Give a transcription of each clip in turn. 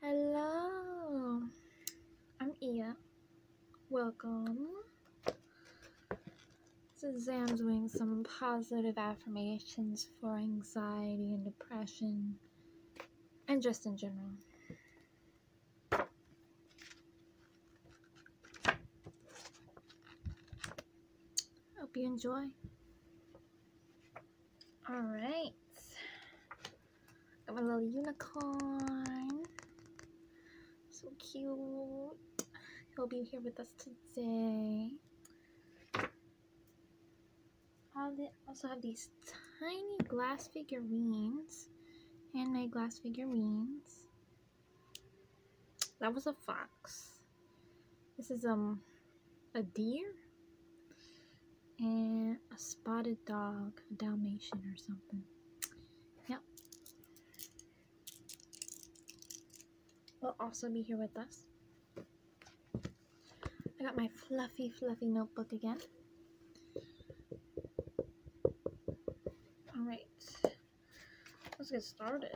Hello, I'm Iya. Welcome. This is Zam doing some positive affirmations for anxiety and depression, and just in general. Hope you enjoy. Alright. Got my little unicorn. So cute. He'll be here with us today. I also have these tiny glass figurines. Handmade glass figurines. That was a fox. This is um a deer and a spotted dog, a Dalmatian or something. Yep. Will also be here with us. I got my fluffy, fluffy notebook again. Alright, let's get started.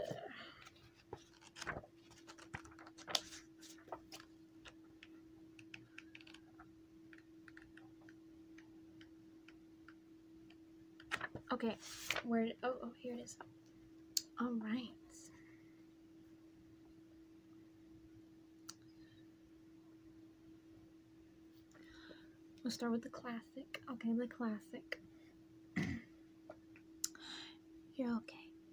Okay, where, oh, oh, here it is. All right. We'll start with the classic. Okay, the classic. You're okay.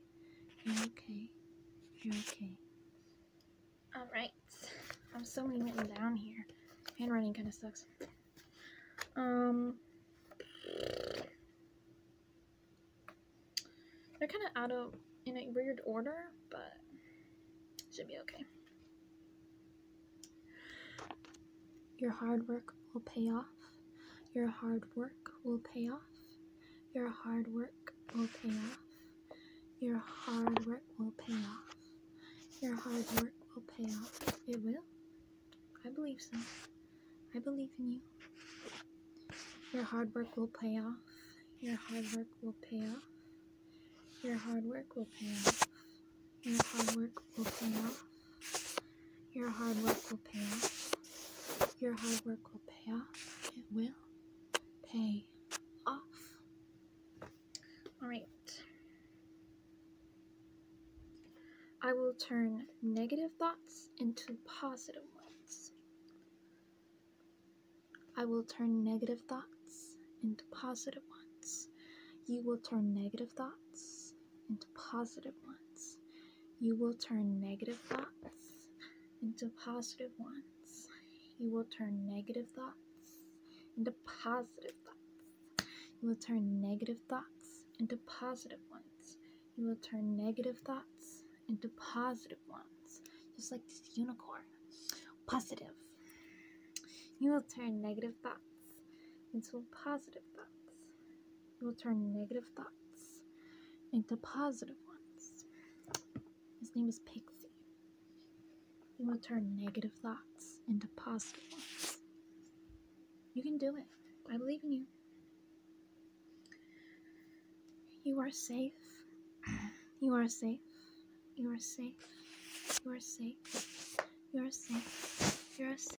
okay. You're okay. You're okay. Alright. I'm so many written down here. Handwriting kind of sucks. Um. They're kind of out of, in a weird order, but should be okay. Your hard work will pay off. Your hard work will pay off. Your hard work will pay off. Your hard work will pay off. Your hard work will pay off. It will. I believe so. I believe in you. Your hard work will pay off. Your hard work will pay off. Your hard work will pay off. Your hard work will pay off. Your hard work will pay off. Your hard work will pay off. It will pay off. Alright. I will turn negative thoughts into positive ones. I will turn negative thoughts into positive ones. You will turn negative thoughts into positive ones. You will turn negative thoughts into positive ones. You will turn negative thoughts into positive thoughts. You will turn negative thoughts into positive ones. You will turn negative thoughts into positive ones. Just like this unicorn. Positive. You will turn negative thoughts into positive thoughts. You will turn negative thoughts into positive ones. His name is Pixie. You will turn negative thoughts into positive ones. You can do it. I believe in you. You are safe. You are safe. You are safe. You are safe. You are safe. You are safe.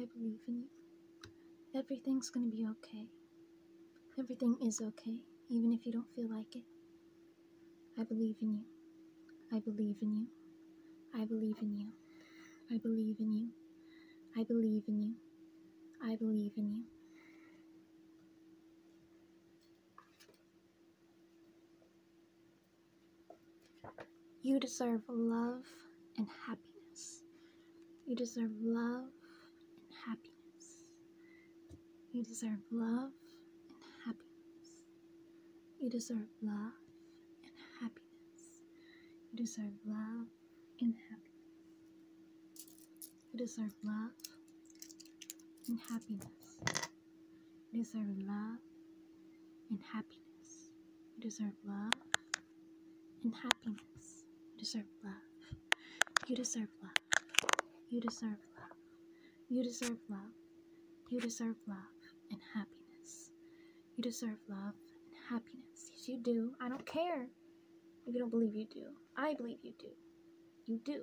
I believe in you. Everything's gonna be okay. Everything is okay, even if you don't feel like it. I believe in you. I believe in you. I believe in you. I believe in you. I believe in you. I believe in you. You deserve love and happiness. You deserve love and happiness. You deserve love and happiness. You deserve love and happiness. You deserve love and happiness. You deserve love and happiness. You deserve love and happiness. You deserve love and happiness. You deserve love. You deserve love. You deserve love. You deserve love. You deserve love and happiness. You deserve love and happiness. Yes, you do. I don't care if you don't believe you do. I believe you do. You do.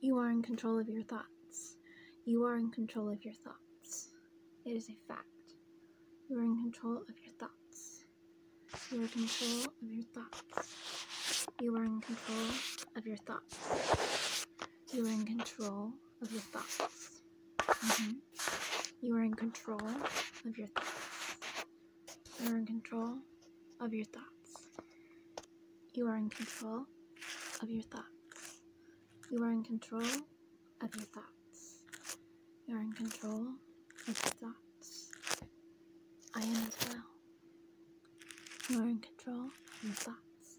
You are in control of your thoughts. You are in control of your thoughts. It is a fact. You are in control of your thoughts. You are in control of your thoughts. You are in control of your thoughts. You are in control of your thoughts. Mm-hmm. You are in control of your thoughts. You are in control of your thoughts. You are in control of your thoughts. You are in control of your thoughts. You are in control of your thoughts. I am as well. You are in control of your thoughts.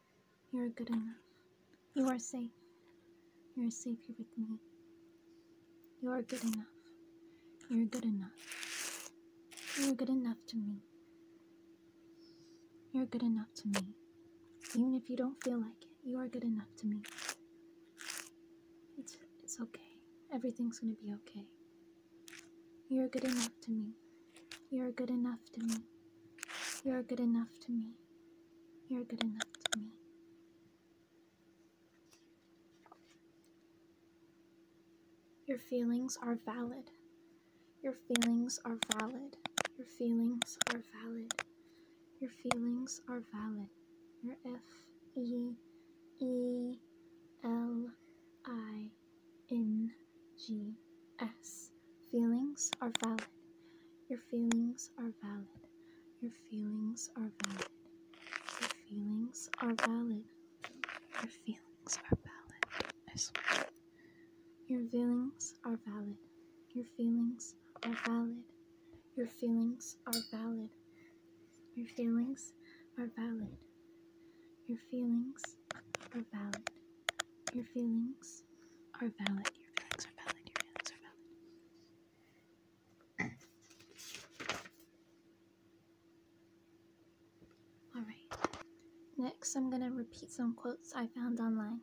You're good enough. You are safe. You're safe here with me. You are good enough. You're good enough. You're good enough to me. You're good enough to me. Even if you don't feel like it, you are good enough to me. It's, it's okay. Everything's gonna be okay. You're good enough to me. You are good enough to me. You are good enough to me. You are good enough to me. Your feelings are valid. Your feelings are valid. Your feelings are valid. Your feelings are valid. Your F E E L I I N G S. Feelings are valid. Your feelings are valid. Your feelings are valid. Your feelings are valid. Your feelings are valid. I swear. Your feelings are valid. Your feelings are valid. Your feelings are valid. Your feelings are valid. Your feelings are valid. Your feelings are valid. Your feelings are valid. Your feelings are valid. Alright. Next, I'm going to repeat some quotes I found online.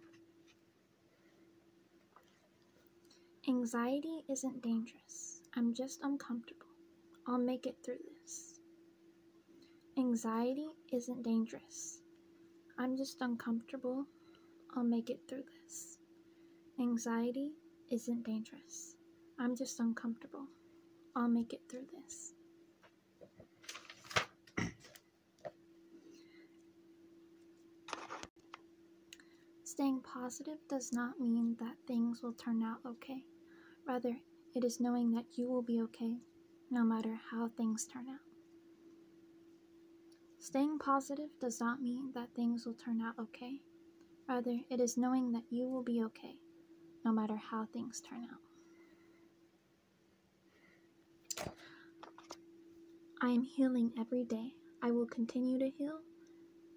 Anxiety isn't dangerous. I'm just uncomfortable. I'll make it through this. Anxiety isn't dangerous. I'm just uncomfortable. I'll make it through this. Anxiety isn't dangerous. I'm just uncomfortable. I'll make it through this. Staying positive does not mean that things will turn out okay. Rather, it is knowing that you will be okay no matter how things turn out. Staying positive does not mean that things will turn out okay. Rather, it is knowing that you will be okay, no matter how things turn out. I am healing every day. I will continue to heal,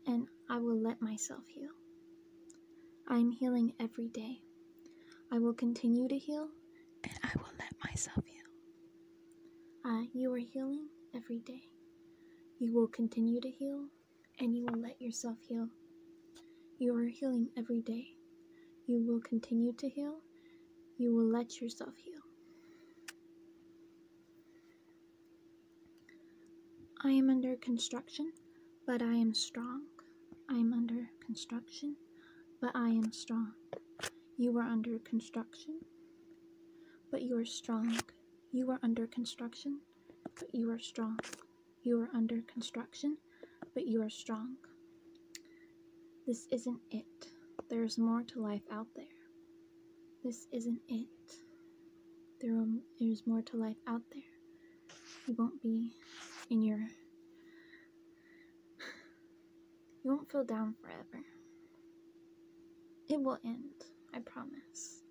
and I will let myself heal. I am healing every day. I will continue to heal, and I will let myself heal. Ah, you are healing every day. You will continue to heal, and you will let yourself heal. You are healing every day. You will continue to heal. You will let yourself heal. I am under construction but I am strong. I am under construction, but I am strong. You are under construction, but you are strong. You are under construction, but you are strong. You are under construction, but you are strong. This isn't it. There is more to life out there. This isn't it. There is more to life out there you won't be in your you won't feel down forever. It will end, I promise.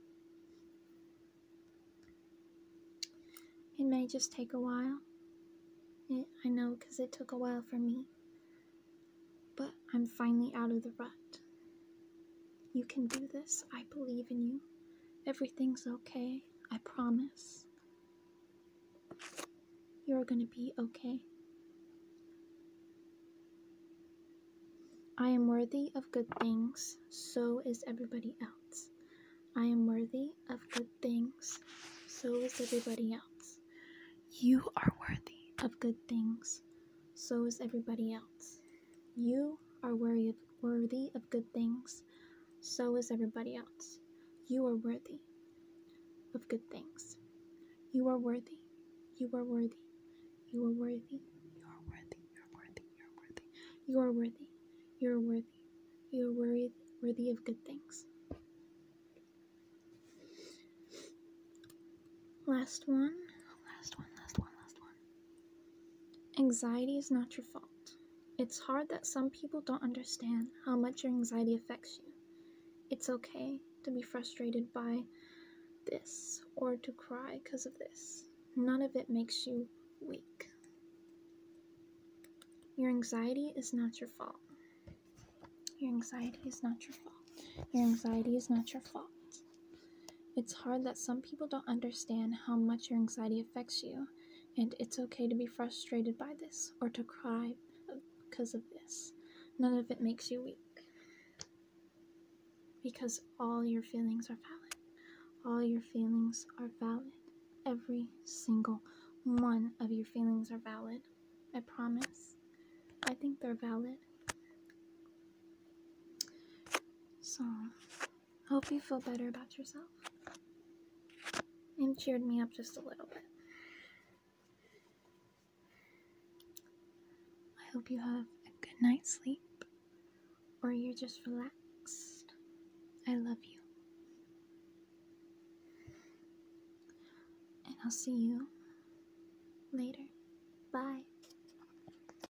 It may just take a while. I know because it took a while for me. But I'm finally out of the rut. You can do this. I believe in you. Everything's okay. I promise. You're going to be okay. I am worthy of good things, so is everybody else. I am worthy of good things, so is everybody else. You are worthy of good things, so is everybody else. You are worthy of, worthy of good things, so is everybody else. You are worthy of good things. You are worthy. You are worthy. You are worthy. You are worthy. You are worthy. You are worthy. You are worthy. You are worthy. You are worthy, worthy of good things. Last one. Last one. Last one. Last one. Anxiety is not your fault. It's hard that some people don't understand how much your anxiety affects you. It's okay to be frustrated by this or to cry because of this. None of it makes you weak. Your anxiety is not your fault. Your anxiety is not your fault. Your anxiety is not your fault. It's hard that some people don't understand how much your anxiety affects you, and it's okay to be frustrated by this or to cry because of this. None of it makes you weak. Because all your feelings are valid. All your feelings are valid. Every single one of your feelings are valid. I promise. I think they're valid. So. I Hope you feel better about yourself and cheered me up just a little bit. I hope you have a good night's sleep or you're just relaxed. I love you. And I'll see you later. Bye.